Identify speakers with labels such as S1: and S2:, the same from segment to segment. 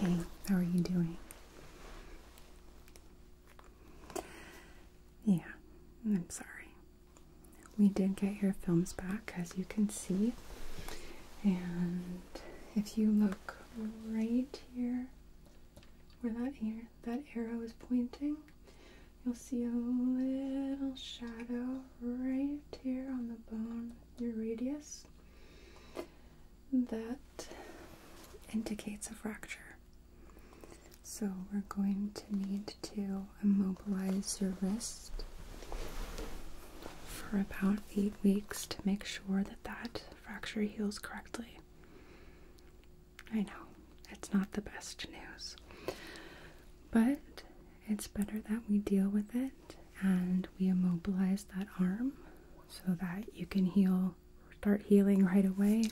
S1: Hey, how are you doing? Yeah, I'm sorry. We did get your films back, as you can see. And if you look right here, where that, ar that arrow is pointing, you'll see a little shadow right here on the bone, your radius, that indicates a fracture. So we're going to need to immobilize your wrist for about eight weeks to make sure that that fracture heals correctly. I know it's not the best news, but it's better that we deal with it and we immobilize that arm so that you can heal, start healing right away.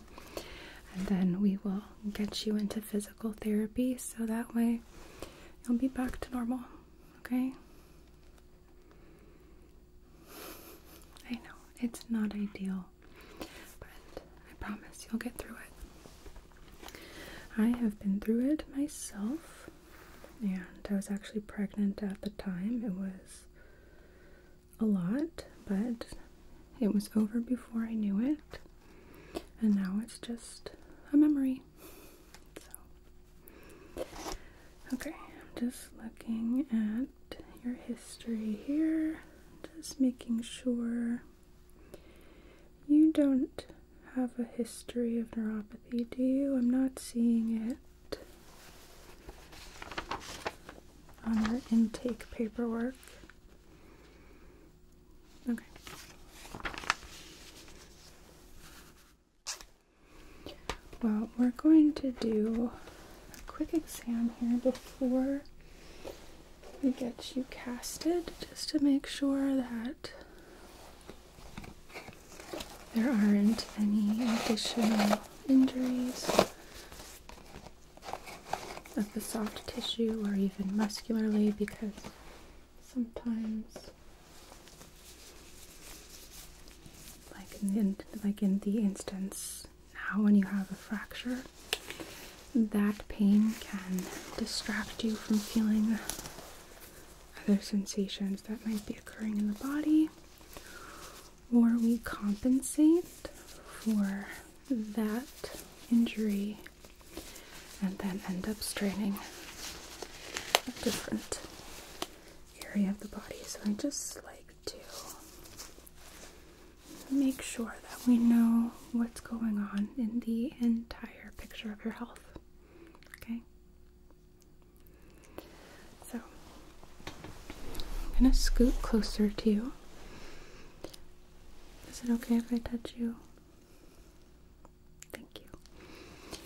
S1: And then we will get you into physical therapy so that way you'll be back to normal, okay? I know it's not ideal, but I promise you'll get through it. I have been through it myself, and I was actually pregnant at the time. It was a lot, but it was over before I knew it, and now it's just a memory okay, I'm just looking at your history here, just making sure you don't have a history of neuropathy, do you? I'm not seeing it on our intake paperwork. Okay. Well, we're going to do a quick exam here before we get you casted just to make sure that there aren't any additional injuries of the soft tissue or even muscularly because sometimes like in, the, like in the instance now when you have a fracture, that pain can distract you from feeling other sensations that might be occurring in the body, or we compensate for that injury and then end up straining a different area of the body. So I just like to make sure that we know what's going on in the entire picture of your health. Okay? So I'm going to scoot closer to you. Is it okay if I touch you? Thank you.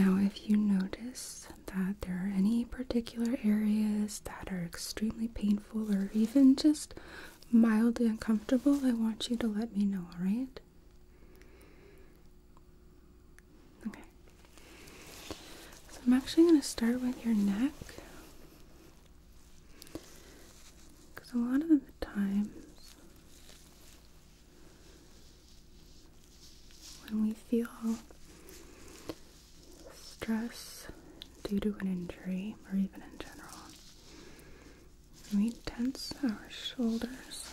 S1: Now, if you notice that there are any particular areas that are extremely painful or even just mildly uncomfortable, I want you to let me know, alright? Okay. So I'm actually going to start with your neck. Because a lot of the times when we feel stress due to an injury, or even in general, we tense our shoulders.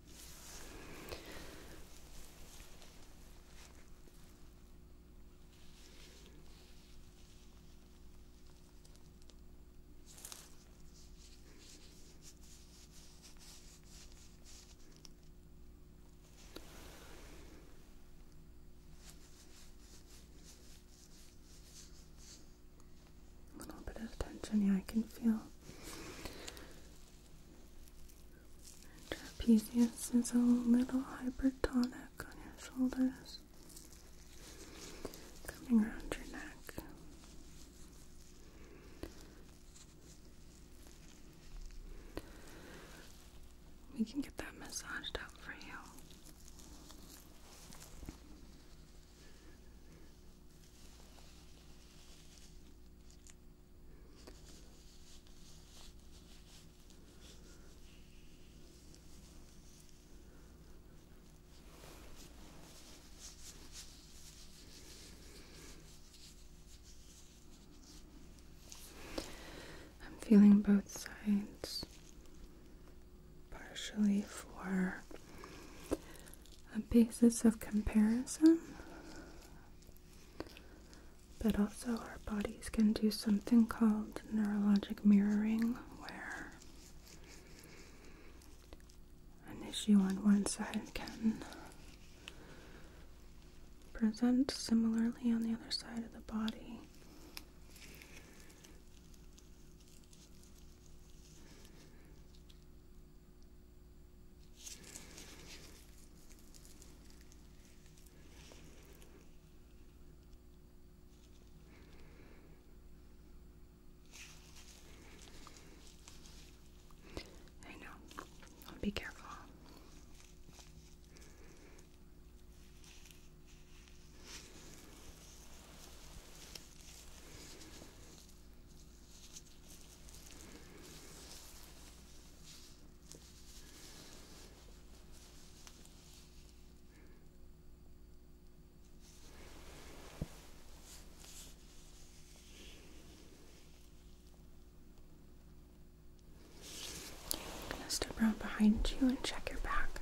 S1: A little bit of tension, yeah, I can feel Trapezius is a little hypertonic on your shoulders, coming around your neck. We can get that massaged out for you. I'm feeling both sides partially for a basis of comparison, but also our bodies can do something called neurologic mirroring, where an issue on one side can present similarly on the other side of the body. I know. be careful. I'm gonna step around behind you and check your back.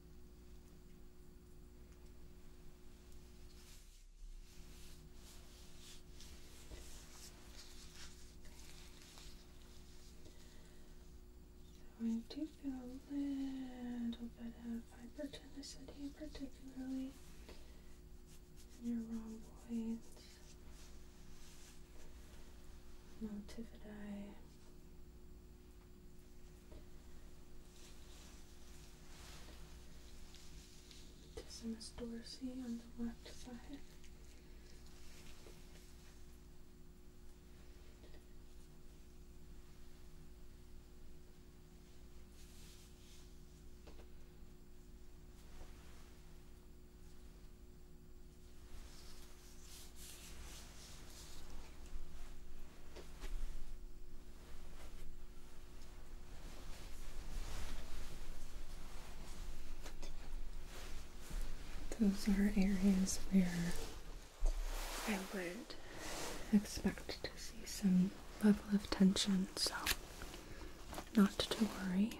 S1: So I do feel a little bit of hypertonicity, particularly in your rhomboids, multividae, this Dorsey on the left side. Those are areas where I would expect to see some level of tension, so not to worry.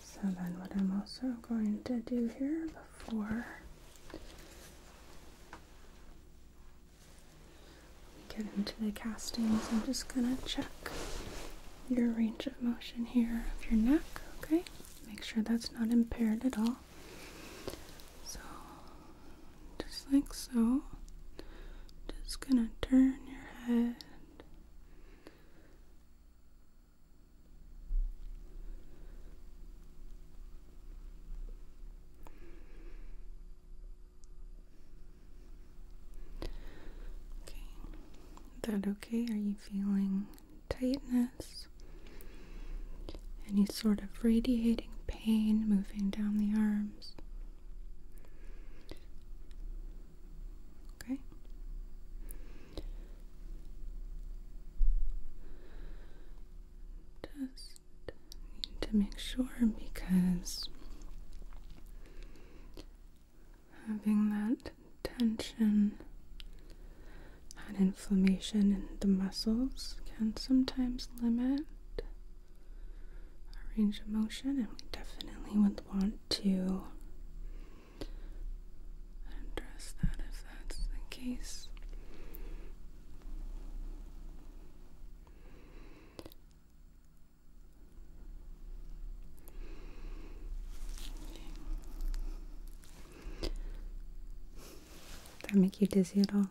S1: So then what I'm also going to do here before we get into the castings, I'm just gonna check your range of motion here of your neck, okay? Make sure that's not impaired at all. So just like so. Just gonna turn your head Okay, is that okay? Are you feeling tightness? Any sort of radiating pain moving down the arms? Okay. Just need to make sure because having that tension and inflammation in the muscles can sometimes limit our range of motion, and we definitely would want to address that if that's the case. Okay. That make you dizzy at all?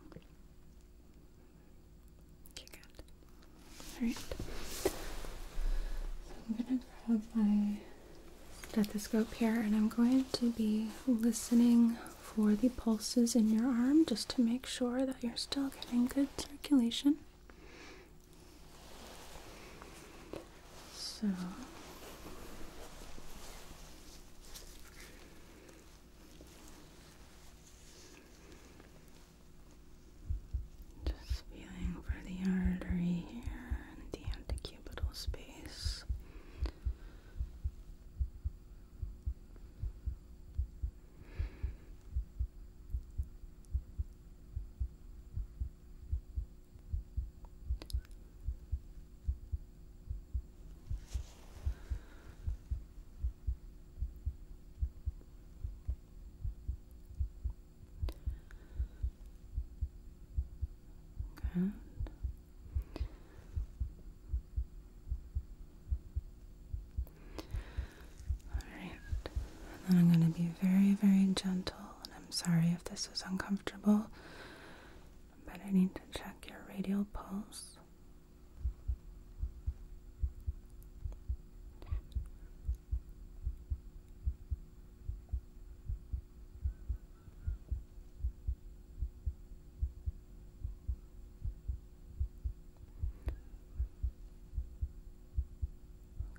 S1: Okay, good. All right. So I'm gonna grab my stethoscope here and I'm going to be listening for the pulses in your arm just to make sure that you're still getting good circulation. So feeling for the artery here in the antecubital space. Good. Alright. then I'm going to be very, very gentle. And I'm sorry if this is uncomfortable, but I need to check your radial pulse.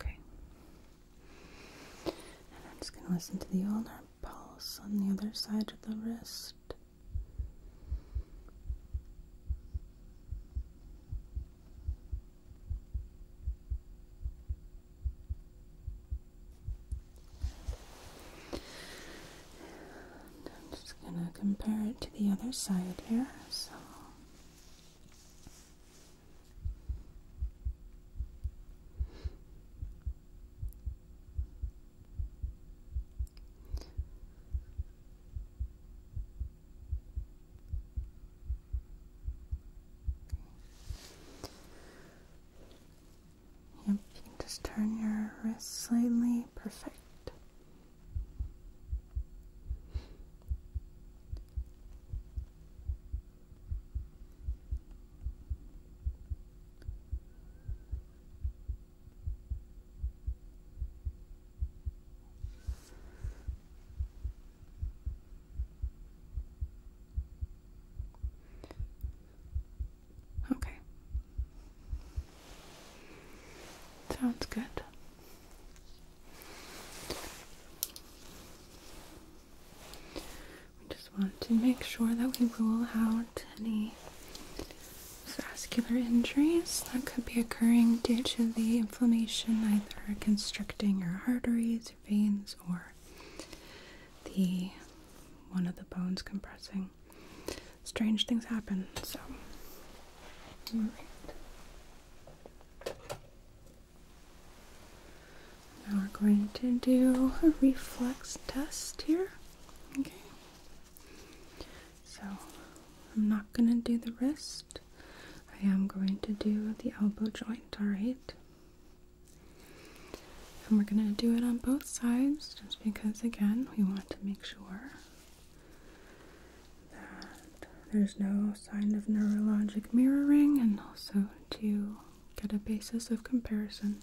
S1: Okay. And I'm just going to listen to the ulnar pulse on the other side of the wrist. I'm just going to compare it to the other side here. So. Yep, you can just turn your wrist slightly. Perfect. Okay. Sounds good. We just want to make sure that we rule out any vascular injuries that could be occurring due to the inflammation, either constricting your arteries, your veins, or the one of the bones compressing. Strange things happen, so Now we're going to do a reflex test here. So I'm not gonna do the wrist. I am going to do the elbow joint, alright? And we're going to do it on both sides just because, again, we want to make sure that there's no sign of neurologic mirroring and also to get a basis of comparison.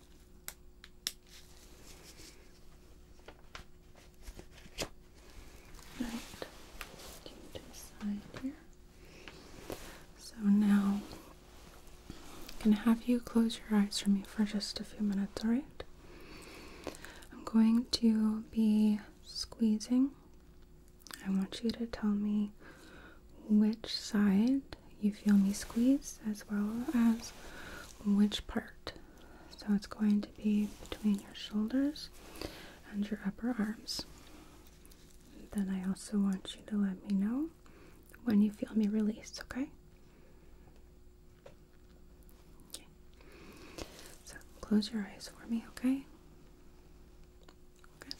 S1: Right, to the side here. So now I'm gonna have you close your eyes for me for just a few minutes, alright? I'm going to be squeezing. I want you to tell me which side you feel me squeeze as well as which part. So it's going to be between your shoulders and your upper arms. Then I also want you to let me know when you feel me release, okay? Okay. So close your eyes for me, okay? Good.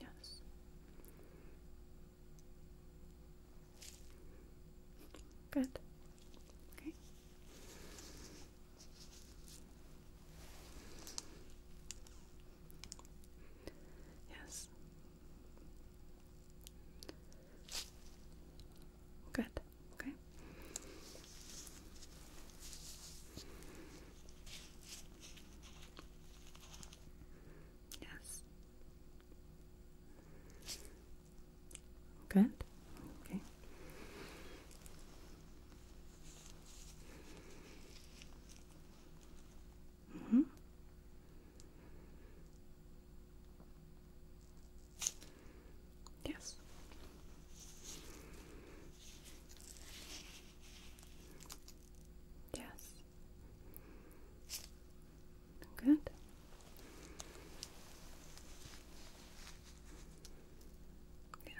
S1: Yes. Good. Okay. Yes. Good. Okay. Yes. Good. Okay. Mm -hmm. Yes. Yes. Good. Yeah.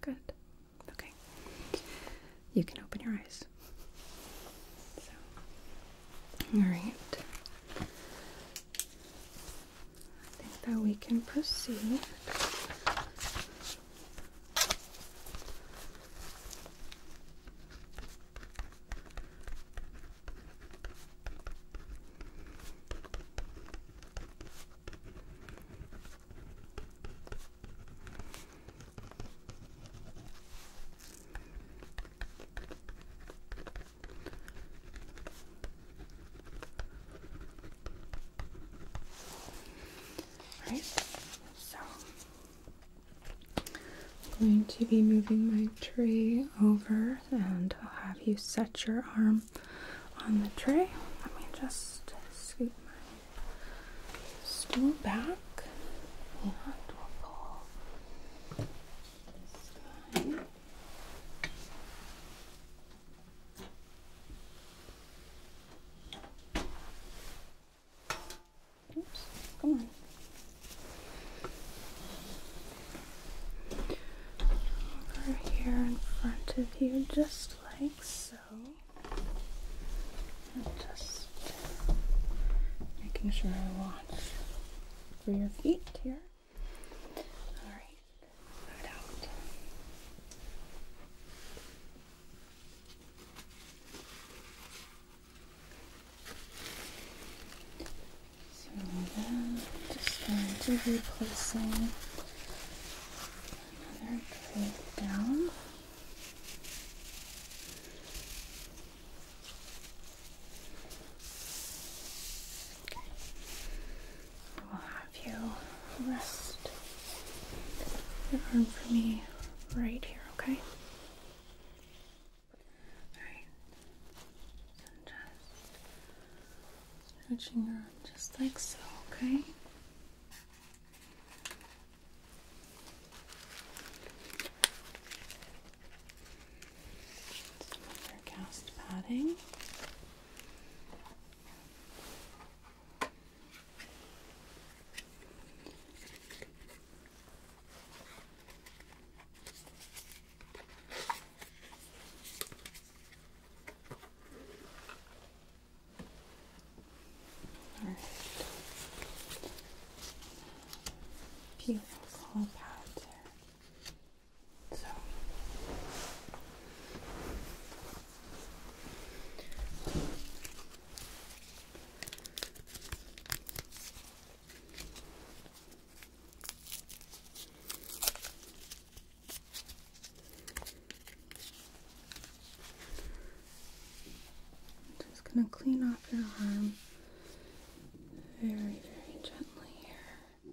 S1: Good. Okay. You can open your eyes. So. All right. I think that we can proceed. Right, so I'm going to be moving my tray over and I'll have you set your arm on the tray. Let me just scoot my stool back come on. Over here in front of you, just like so. I'm just making sure I watch for your feet here. All right, move out. So then, just going to be placing another plate down. Okay. I will have you rest your arm for me right here, okay? just stretching your arm just like so, okay? Some of our cast padding. Okay. All right. Beautiful powder. So just going to clean off your arm very, very gently here.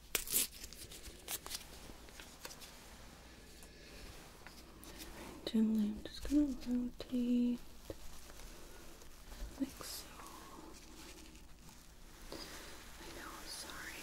S1: Very gently, I'm just going to rotate like so. I know, sorry.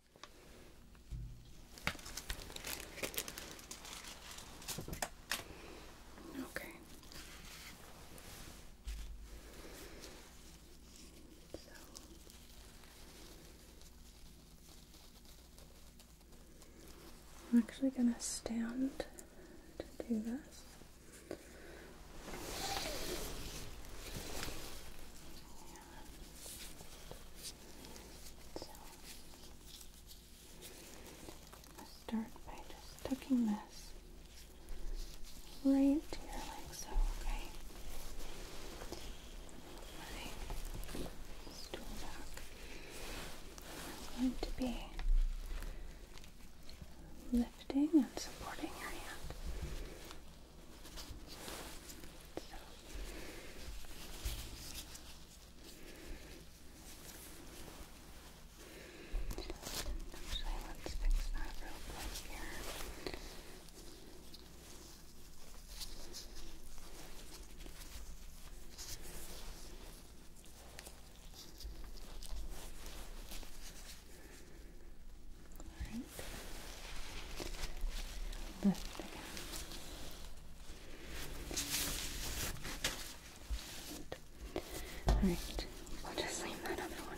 S1: Okay. So I'm actually going to stand to do this. I'm start by just tucking this right to your so okay. I'm going to be lifting and supporting your hand Actually, let's fix that real quick here. Alright right. Left Alright, we'll just leave that other one.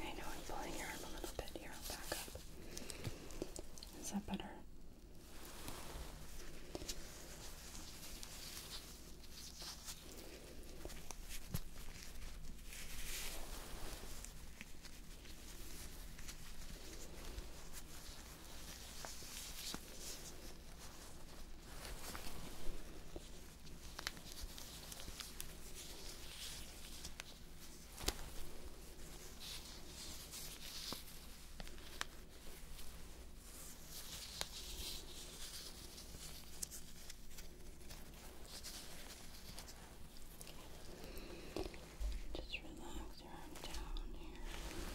S1: I know I'm pulling your arm a little bit here. i back up. Is that better? Just relax your arm down here. Okay.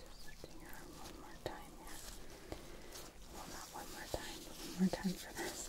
S2: Just your arm one more time Well, not one more time, but one more time for
S1: this.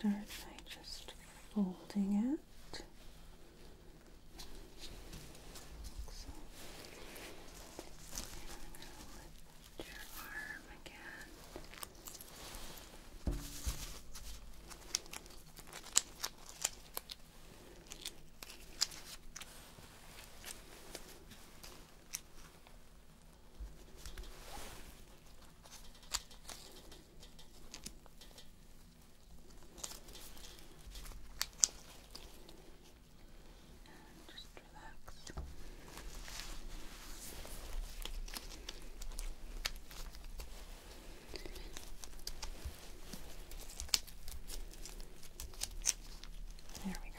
S1: Start by just folding it your arm again. And just relax. There we go.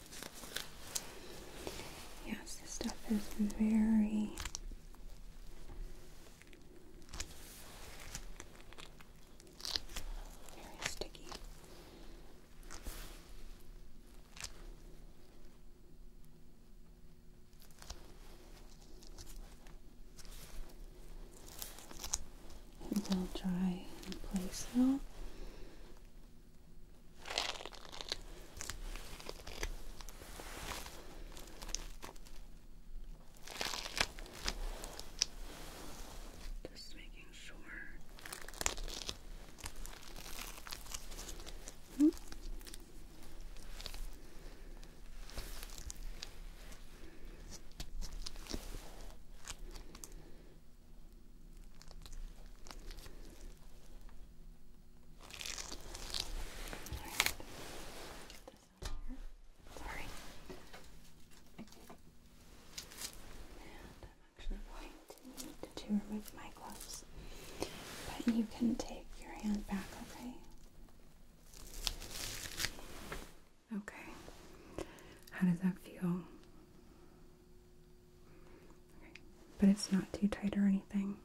S1: Yes, this stuff is very very sticky. It will dry in place though. Just making sure. Hmm. Sorry. I'm actually going to need to remove my gloves. But you can take your hand back, okay? Okay. How does that feel? but it's not too tight or anything.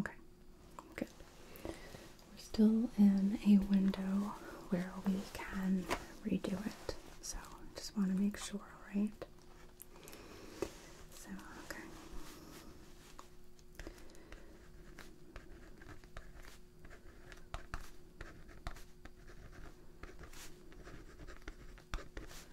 S1: Okay, good. We're still in a window where we can redo it, so I just want to make sure, Right. So, Okay.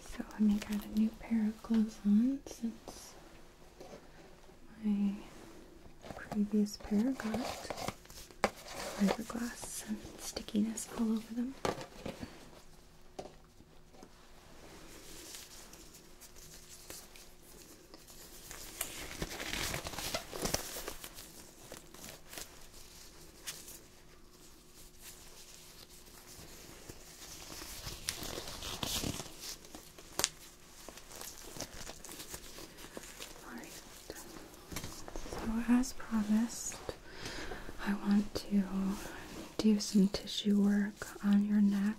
S1: So let me get a new pair of gloves on my previous pair got fiberglass and stickiness all over them so as promised, I want to do some tissue work on your neck,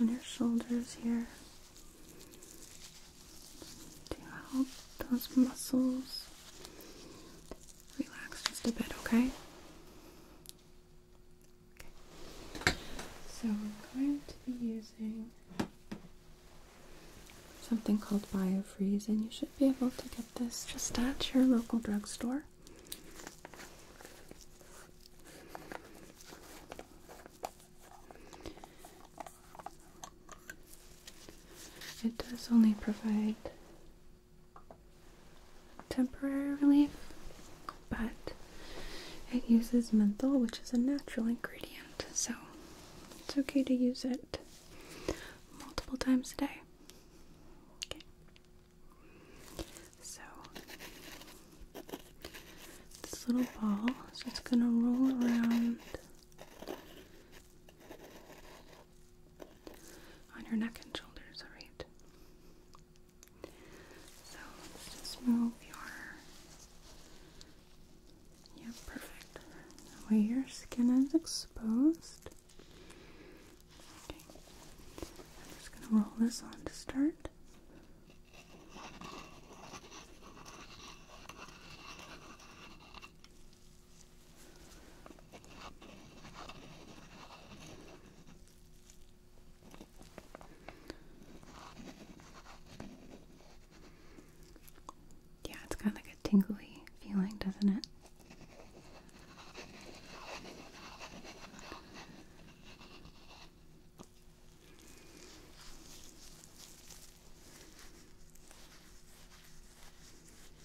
S1: on your shoulders here, to help those muscles relax just a bit, okay? So we're going to be using something called Biofreeze, and you should be able to get this just at your local drugstore. It does only provide temporary relief, but it uses menthol, which is a natural ingredient, so it's okay to use it multiple times a day. Okay. So this little ball is just gonna roll around on your neck and shoulders, alright? So let's just move your. Yep, perfect. That way your skin is exposed. Okay. I'm just going to roll this on to start. Yeah, it's got like a tingly feeling, doesn't it?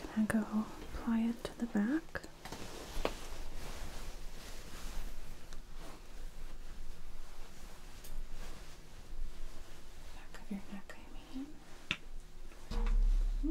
S1: Can I go apply it to the back? Back of your neck, I mean. Hmm?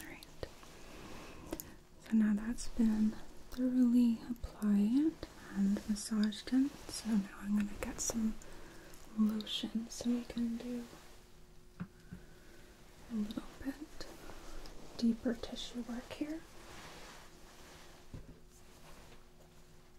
S1: Alright. So now that's been thoroughly applied and massaged in. So now I'm going to get some lotion so we can do a little bit deeper tissue work here.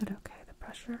S1: Is that okay, the pressure?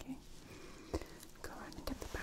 S1: Okay, go around and get the back.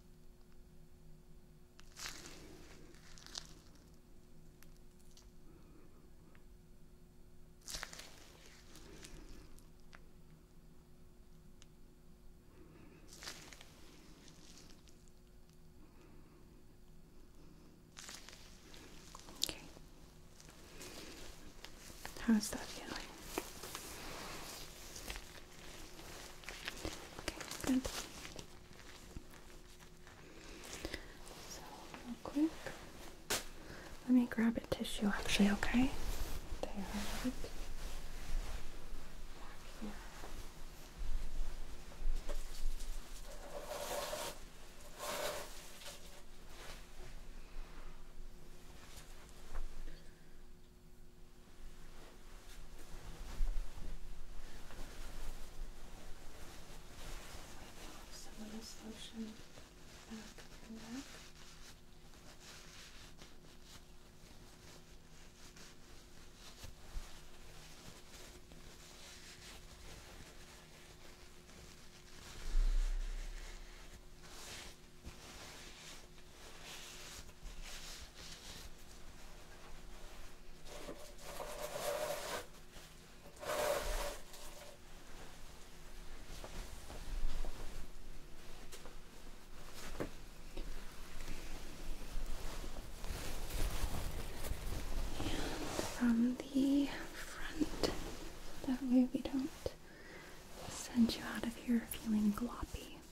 S1: Okay. How's that feeling? Okay, good. So, real quick, let me grab a tissue actually, okay? They are right here. Some of this lotion back and back. Okay from the front, that way we don't send you out of here feeling gloppy.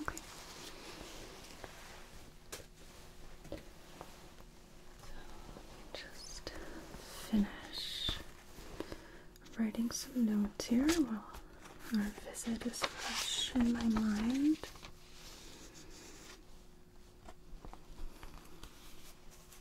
S1: Okay. So let me just finish writing some notes here while our visit is fresh in my mind.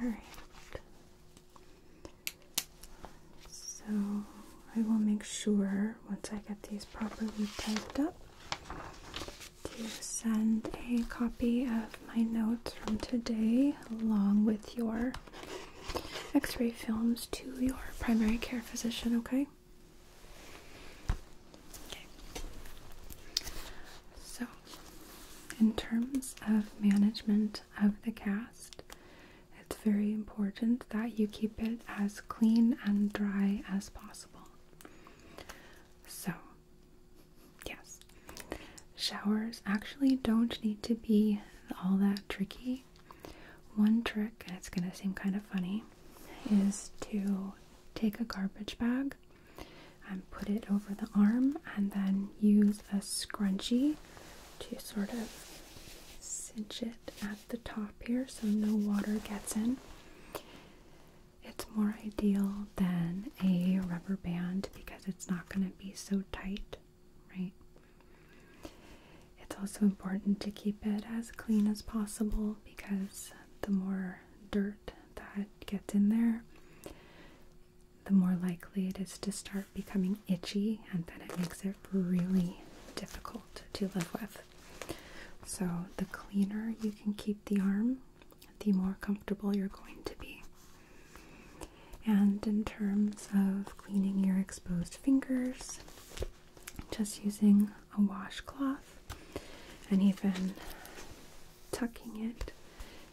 S1: Alright. So I will make sure once I get these properly typed up to send a copy of my notes from today along with your x ray films to your primary care physician, okay? Okay. So in terms of management of the cast, it's very important that you keep it as clean and dry as possible. So, yes, showers actually don't need to be all that tricky. One trick, and it's going to seem kind of funny, is to take a garbage bag and put it over the arm, and then use a scrunchie to sort of cinch it at the top here so no water gets in. It's more ideal than a rubber band because it's not going to be so tight, right? It's also important to keep it as clean as possible because the more dirt that gets in there, the more likely it is to start becoming itchy, and then it makes it really difficult to live with. So, the cleaner you can keep the arm, the more comfortable you're going to be. And in terms of cleaning your exposed fingers, just using a washcloth and even tucking it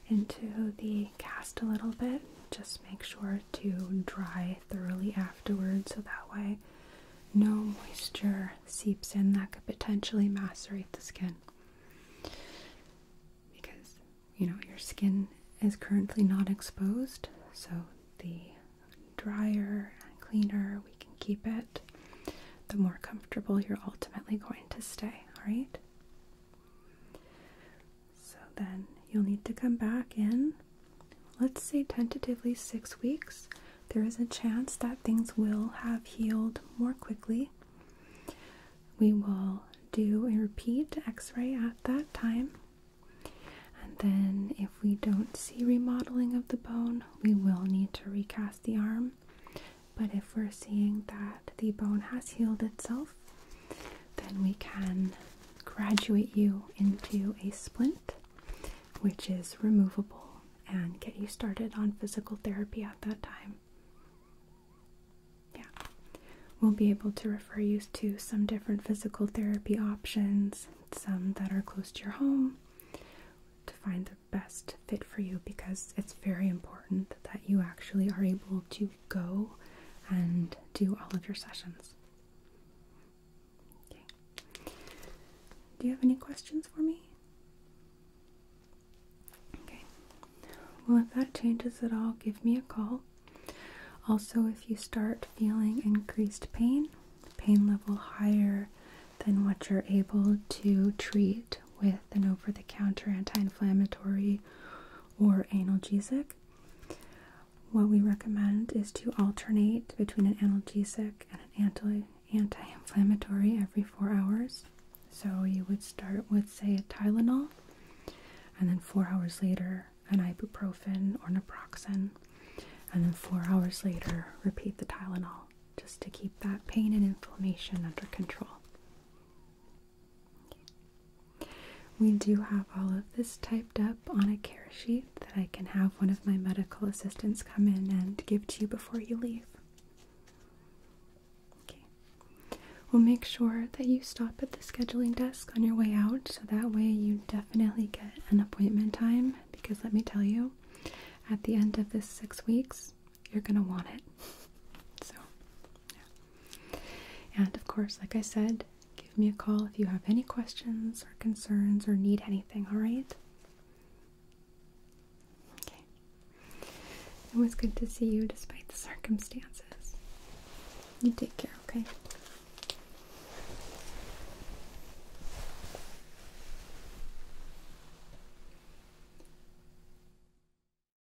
S1: into the cast a little bit. Just make sure to dry thoroughly afterward, so that way no moisture seeps in that could potentially macerate the skin. Because, you know, your skin is currently not exposed, so the drier cleaner we can keep it, the more comfortable you're ultimately going to stay, alright? So then you'll need to come back in, let's say tentatively six weeks. There is a chance that things will have healed more quickly. We will do a repeat x ray at that time. And then, if we don't see remodeling of the bone, we will need to recast the arm but if we're seeing that the bone has healed itself, then we can graduate you into a splint, which is removable, and get you started on physical therapy at that time. Yeah, we'll be able to refer you to some different physical therapy options, some that are close to your home, to find the best fit for you because it's very important that you actually are able to go and do all of your sessions. Okay. Do you have any questions for me? Okay. Well, if that changes at all, give me a call. Also, if you start feeling increased pain, pain level higher than what you're able to treat with an over the counter anti inflammatory or analgesic. What we recommend is to alternate between an analgesic and an anti inflammatory every four hours. So you would start with, say, a Tylenol, and then four hours later, an ibuprofen or naproxen, and then four hours later, repeat the Tylenol just to keep that pain and inflammation under control. We do have all of this typed up on a care sheet that I can have one of my medical assistants come in and give to you before you leave. Okay. We'll make sure that you stop at the scheduling desk on your way out so that way you definitely get an appointment time because let me tell you, at the end of this six weeks, you're gonna want it. So, And of course, like I said, give me a call if you have any questions or concerns or need anything, alright? Okay. It was good to see you despite the circumstances. You take care, okay?